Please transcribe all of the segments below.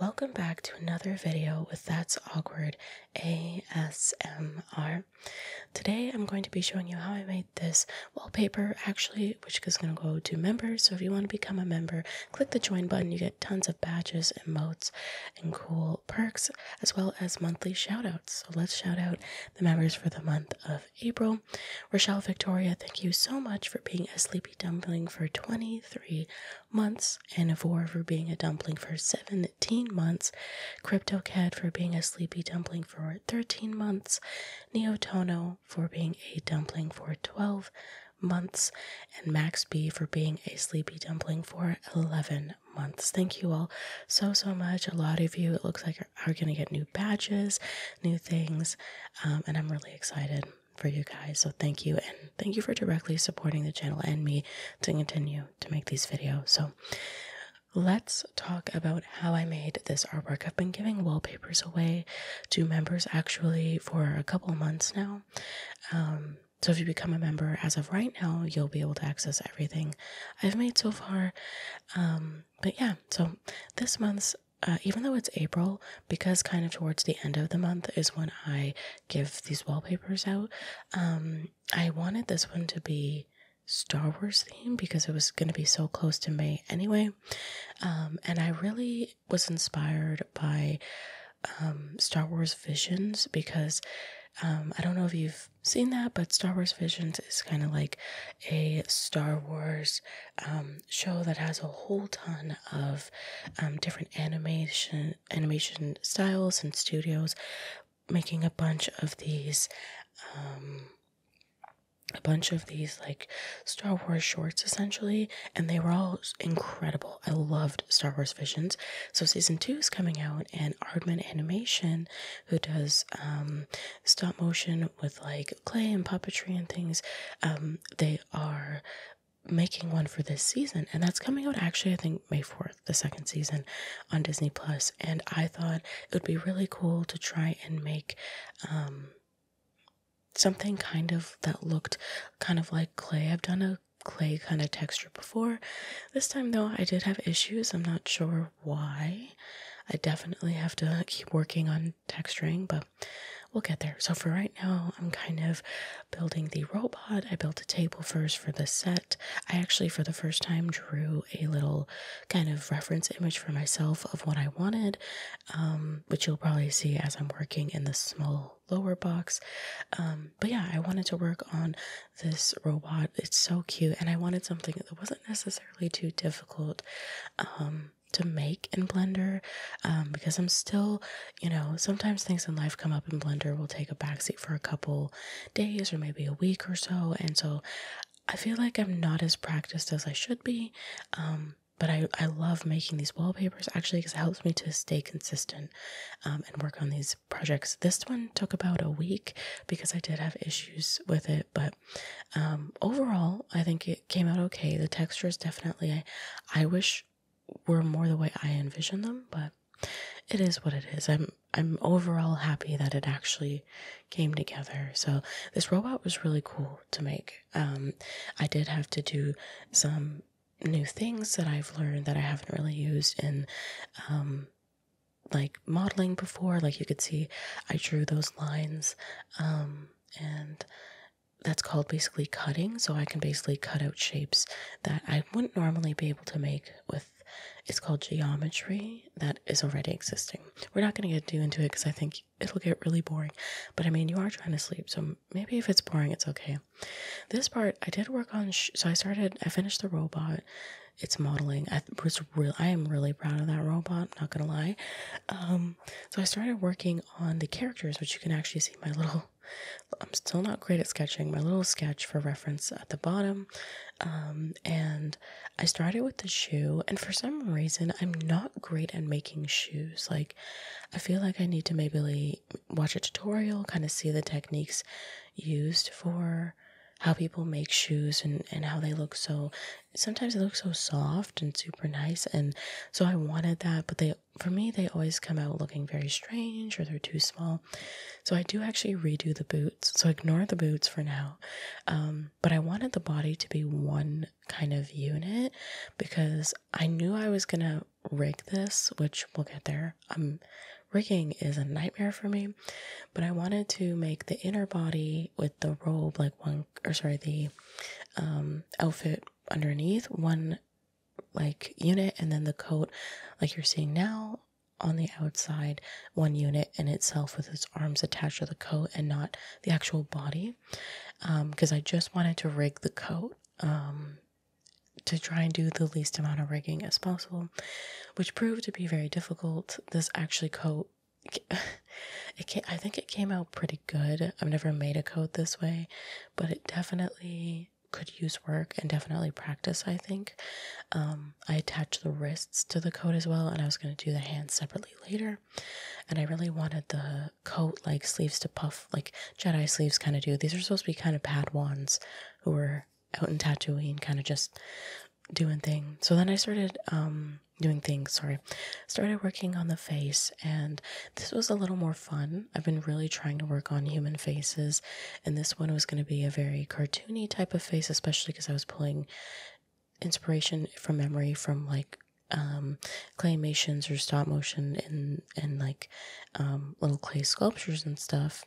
Welcome back to another video with That's Awkward ASMR. Today I'm going to be showing you how I made this wallpaper actually, which is going to go to members. So if you want to become a member, click the join button. You get tons of badges, and emotes, and cool perks, as well as monthly shout outs. So let's shout out the members for the month of April. Rochelle Victoria, thank you so much for being a sleepy dumpling for 23 months, Anivore for being a dumpling for 17 months, CryptoCat for being a sleepy dumpling for 13 months, Neotono for being a dumpling for 12 months, and Max B for being a sleepy dumpling for 11 months. Thank you all so, so much. A lot of you, it looks like, are, going to get new badges, new things, um, and I'm really excited for you guys. So thank you. And thank you for directly supporting the channel and me to continue to make these videos. So let's talk about how I made this artwork. I've been giving wallpapers away to members actually for a couple months now. Um, so if you become a member as of right now, you'll be able to access everything I've made so far. Um, but yeah, so this month's uh, even though it's April, because kind of towards the end of the month is when I give these wallpapers out. Um, I wanted this one to be Star Wars theme because it was going to be so close to May anyway. Um, and I really was inspired by um, Star Wars Visions because um, I don't know if you've seen that, but Star Wars Visions is kind of like a Star Wars um, show that has a whole ton of um, different animation animation styles and studios making a bunch of these um a bunch of these like Star Wars shorts essentially, and they were all incredible. I loved Star Wars Visions. So season two is coming out, and Aardman Animation, who does um, stop motion with like clay and puppetry and things, um, they are making one for this season and that's coming out actually i think may 4th the second season on disney plus and i thought it would be really cool to try and make um, something kind of that looked kind of like clay i've done a clay kind of texture before this time though i did have issues i'm not sure why i definitely have to keep working on texturing but we'll get there so for right now i'm kind of building the robot. I built a table first for the set. I actually, for the first time, drew a little kind of reference image for myself of what I wanted, um, which you'll probably see as I'm working in the small lower box. Um, but yeah, I wanted to work on this robot. It's so cute, and I wanted something that wasn't necessarily too difficult. Um, to make in Blender because I'm still you know, sometimes things in life come up and Blender will take a backseat for a couple days or maybe a week or so. And so I feel like I'm not as practiced as I should be. Um, but I, I love making these wallpapers actually because it helps me to stay consistent um, and work on these projects. This one took about a week because I did have issues with it, but um, overall, I think it came out okay. The texture is definitely, I, I wish were more the way I envisioned them, but it is what it is. I'm I'm overall happy that it actually came together. So this robot was really cool to make. Um, I did have to do some new things that I've learned that I haven't really used in um, like modeling before. Like you could see, I drew those lines um, and that's called basically cutting. So I can basically cut out shapes that I wouldn't normally be able to make with. It's called geometry that is already existing. We're not going to get too into it because I think it'll get really boring. But I mean, you are trying to sleep, so maybe if it's boring, it's okay. This part I did work on. so I started. I finished the robot. It's modeling. I was real. I am really proud of that robot. not gonna lie. Um, so I started working on the characters, which you can actually see my little I'm still not great at sketching. My little sketch for reference at the bottom. Um, and I started with the shoe, and for some reason, I'm not great at making shoes. Like, I feel like I need to maybe like, watch a tutorial, kind of see the techniques used for how people make shoes and, and how they look so sometimes they look so soft and super nice and so i wanted that but they for me, they always come out looking very strange or they're too small. So I do actually redo the boots. So ignore the boots for now. Um, but I wanted the body to be one kind of unit because I knew I was going to rig this, which we'll get there. Um, rigging is a nightmare for me, but I wanted to make the inner body with the robe like one, or sorry, the um, outfit underneath one like unit and then the coat like you're seeing now on the outside one unit in itself with its arms attached to the coat and not the actual body because um, i just wanted to rig the coat um, to try and do the least amount of rigging as possible which proved to be very difficult this actually coat it came, i think it came out pretty good i've never made a coat this way but it definitely could use work and definitely practice, I think. Um, I attached the wrists to the coat as well, and I was going to do the hands separately later. And I really wanted the coat like sleeves to puff, like Jedi sleeves kind of do. These are supposed to be kind of pad Padawans who were out and tattooing, kind of just doing things. So then I started um, doing things, sorry, started working on the face and this was a little more fun. I've been really trying to work on human faces, and this one was going to be a very cartoony type of face, especially because I was pulling inspiration from memory from like um, claymations or stop motion and and like um, little clay sculptures and stuff.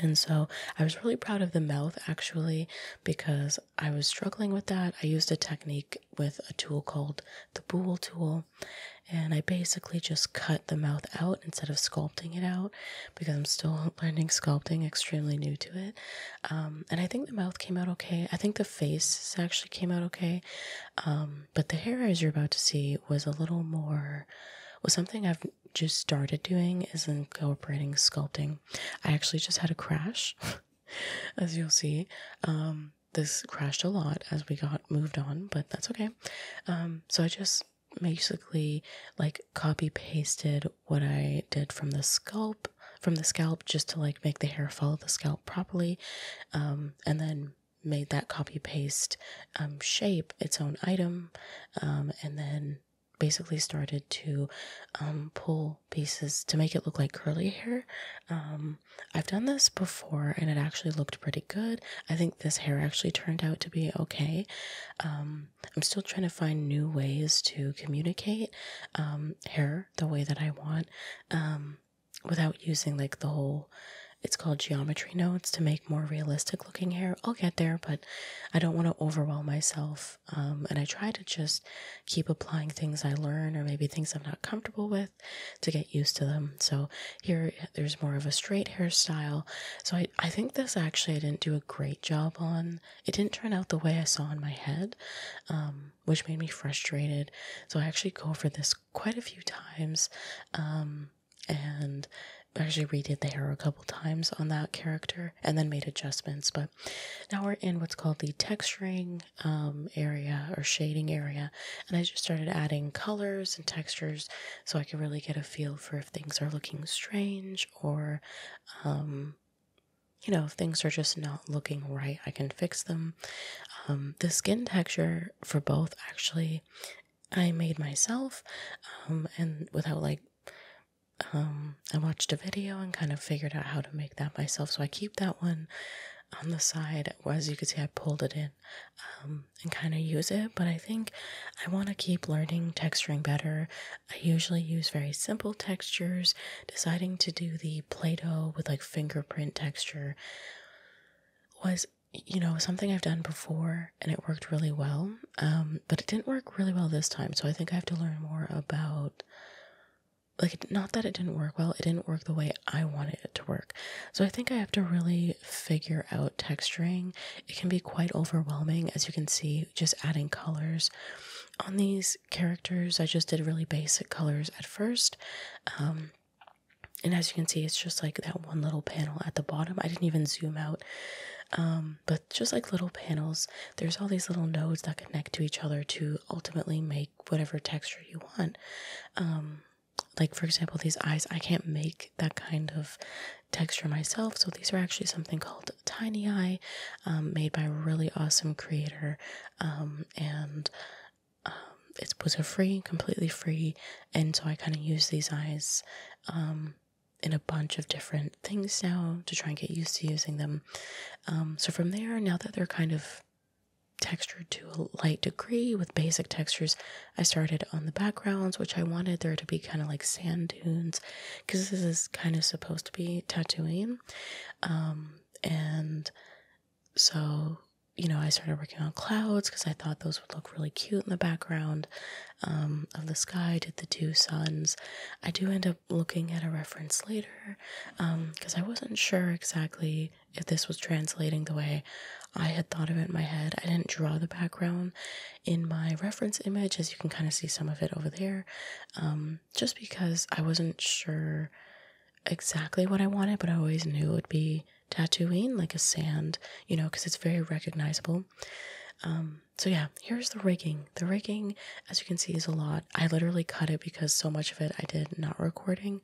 And so I was really proud of the mouth actually because I was struggling with that. I used a technique with a tool called the boole tool and I basically just cut the mouth out instead of sculpting it out because I'm still learning sculpting, extremely new to it. Um, and I think the mouth came out okay. I think the face actually came out okay. Um, but the hair, as you're about to see, was a little more, was something I've just started doing is incorporating sculpting. I actually just had a crash. as you'll see um, this crashed a lot as we got moved on, but that's okay. Um, so I just basically like copy pasted what I did from the scalp from the scalp just to like make the hair follow the scalp properly. Um, and then made that copy paste um, shape its own item um, and then basically started to um, pull pieces to make it look like curly hair um, I've done this before and it actually looked pretty good. I think this hair actually turned out to be okay. Um, I'm still trying to find new ways to communicate um, hair the way that I want um, without using like the whole. It's called geometry nodes to make more realistic looking hair. I'll get there, but I don't want to overwhelm myself. and I try to just keep applying things I learn or maybe things I'm not comfortable with to get used to them. So here there's more of a straight hairstyle. So I, I think this actually I didn't do a great job on. It didn't turn out the way I saw in my head, um, which made me frustrated. So I actually go over this quite a few times. Um, and actually redid the hair a couple times on that character and then made adjustments but now we're in what's called the texturing um, area or shading area and I just started adding colors and textures so I could really get a feel for if things are looking strange or, um, you know, if things are just not looking right, I can fix them. Um, the skin texture for both actually I made myself, um, and without like I watched a video and kind of figured out how to make that myself. So I keep that one on the side. As you can see, I pulled it in and kind of use it, but I think I want to keep learning texturing better. I usually use very simple textures, deciding to do the Play Doh with like fingerprint texture was you know something I've done before and it worked really well um, but it didn't work really well this time so I think I have to learn more about like not that it didn't work well it didn't work the way I wanted it to work. So I think I have to really figure out texturing. It can be quite overwhelming, as you can see, just adding colors. On these characters, I just did really basic colors at first. Um, and as you can see, it's just like that one little panel at the bottom. I didn't even zoom out. Um, but just like little panels, there's all these little nodes that connect to each other to ultimately make whatever texture you want. Um, like for example these eyes i can't make that kind of texture myself so these are actually something called tiny eye um, made by a really awesome creator um, and it's um, it free completely free and so i kind of use these eyes in a bunch of different things now to try and get used to using them so from there now that they're kind of textured to a light degree with basic textures. I started on the backgrounds, which I wanted there to be kind of like sand dunes because this is kind of supposed to be Tatooine. Um, and so, you know, I started working on clouds because I thought those would look really cute in the background um, of the sky. did the two suns. I do end up looking at a reference later because um, I wasn't sure exactly if this was translating the way I had thought of it in my head. I didn't draw the background in my reference image, as you can kind of see some of it over there, um, just because I wasn't sure exactly what I wanted, but I always knew it would be Tatooine, like a sand, you know, because it's very recognizable. Um, so yeah, here's the rigging. The rigging, as you can see, is a lot. I literally cut it because so much of it I did not recording.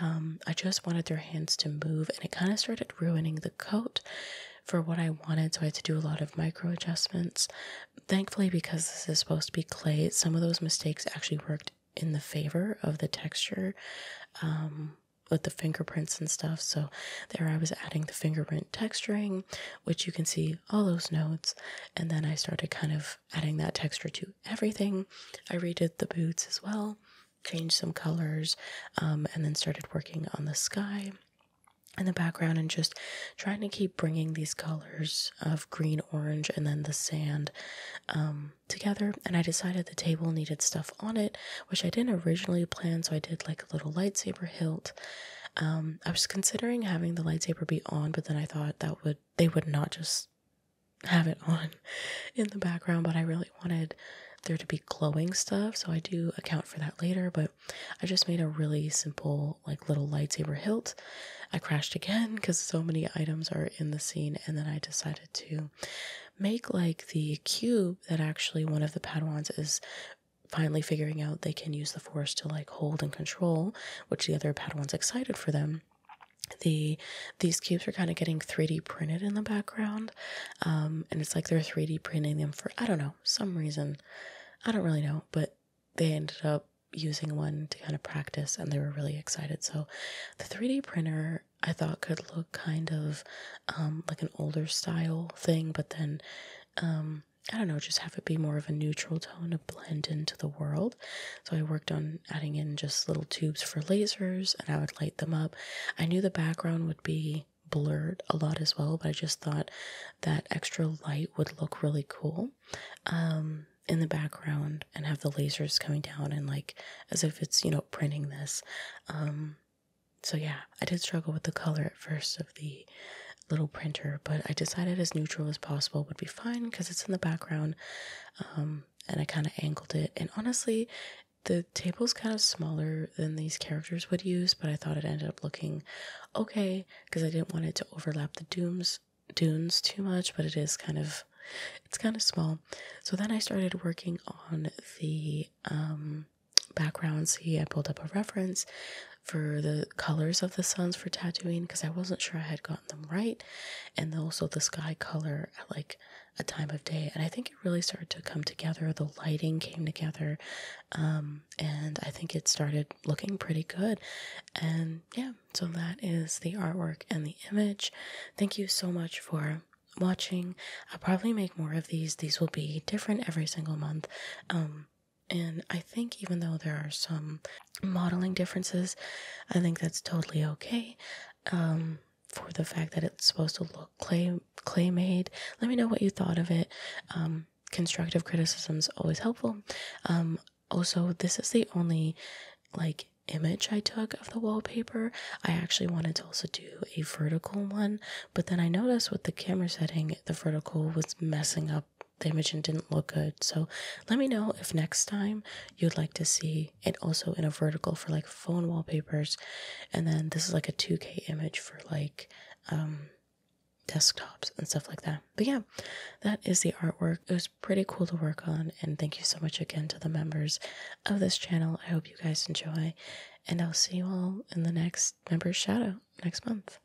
Um, I just wanted their hands to move, and it kind of started ruining the coat for what I wanted. So I had to do a lot of micro adjustments. Thankfully, because this is supposed to be clay, some of those mistakes actually worked in the favor of the texture. Um, with the fingerprints and stuff. So there I was adding the fingerprint texturing, which you can see all those notes. And then I started kind of adding that texture to everything. I redid the boots as well changed some colors, um, and then started working on the sky in the background and just trying to keep bringing these colors of green, orange, and then the sand um, together. And I decided the table needed stuff on it, which I didn't originally plan, so I did like a little lightsaber hilt. Um, I was considering having the lightsaber be on, but then I thought that would they would not just have it on in the background, but I really wanted there to be glowing stuff, so I do account for that later. But I just made a really simple, like little lightsaber hilt. I crashed again because so many items are in the scene, and then I decided to make like the cube that actually one of the padwans is finally figuring out they can use the force to like hold and control, which the other padwans excited for them. The these cubes are kind of getting 3D printed in the background. Um, and it's like they're 3D printing them for, I don't know, some reason. I don't really know, but they ended up using one to kind of practice and they were really excited. So the 3D printer I thought could look kind of um, like an older style thing, but then um, I don't know, just have it be more of a neutral tone to blend into the world. So I worked on adding in just little tubes for lasers and I would light them up I knew the background would be blurred a lot as well, but I just thought that extra light would look really cool um, in the background and have the lasers coming down and like as if it's, you know, printing this. Um, so yeah, I did struggle with the color at first of the little printer, but I decided as neutral as possible would be fine because it's in the background. Um, and I kind of angled it. And honestly, the table's kind of smaller than these characters would use, but I thought it ended up looking okay because I didn't want it to overlap the dooms dunes too much, but it is kind of it's kind of small. So then I started working on the um background. See, I pulled up a reference for the colors of the suns for tattooing because I wasn't sure I had gotten them right, and also the sky color. I like a time of day and i think it really started to come together the lighting came together um, and i think it started looking pretty good and yeah so that is the artwork and the image thank you so much for watching i'll probably make more of these these will be different every single month um, and I think even though there are some modeling differences, I think that's totally okay. Um, for the fact that it's supposed to look clay clay made. Let me know what you thought of it. Um, constructive criticism is always helpful. Um, also, this is the only like image I took of the wallpaper. I actually wanted to also do a vertical one, but then I noticed with the camera setting, the vertical was messing up the image and didn't look good. So let me know if next time you'd like to see 3 and also in a vertical for like phone wallpapers and then this is like a 2k image for like um desktops and stuff like that but yeah that is the artwork it was pretty cool to work on and thank you so much again to the members of this channel i hope you guys enjoy and i'll see you all in the next member's shout out next month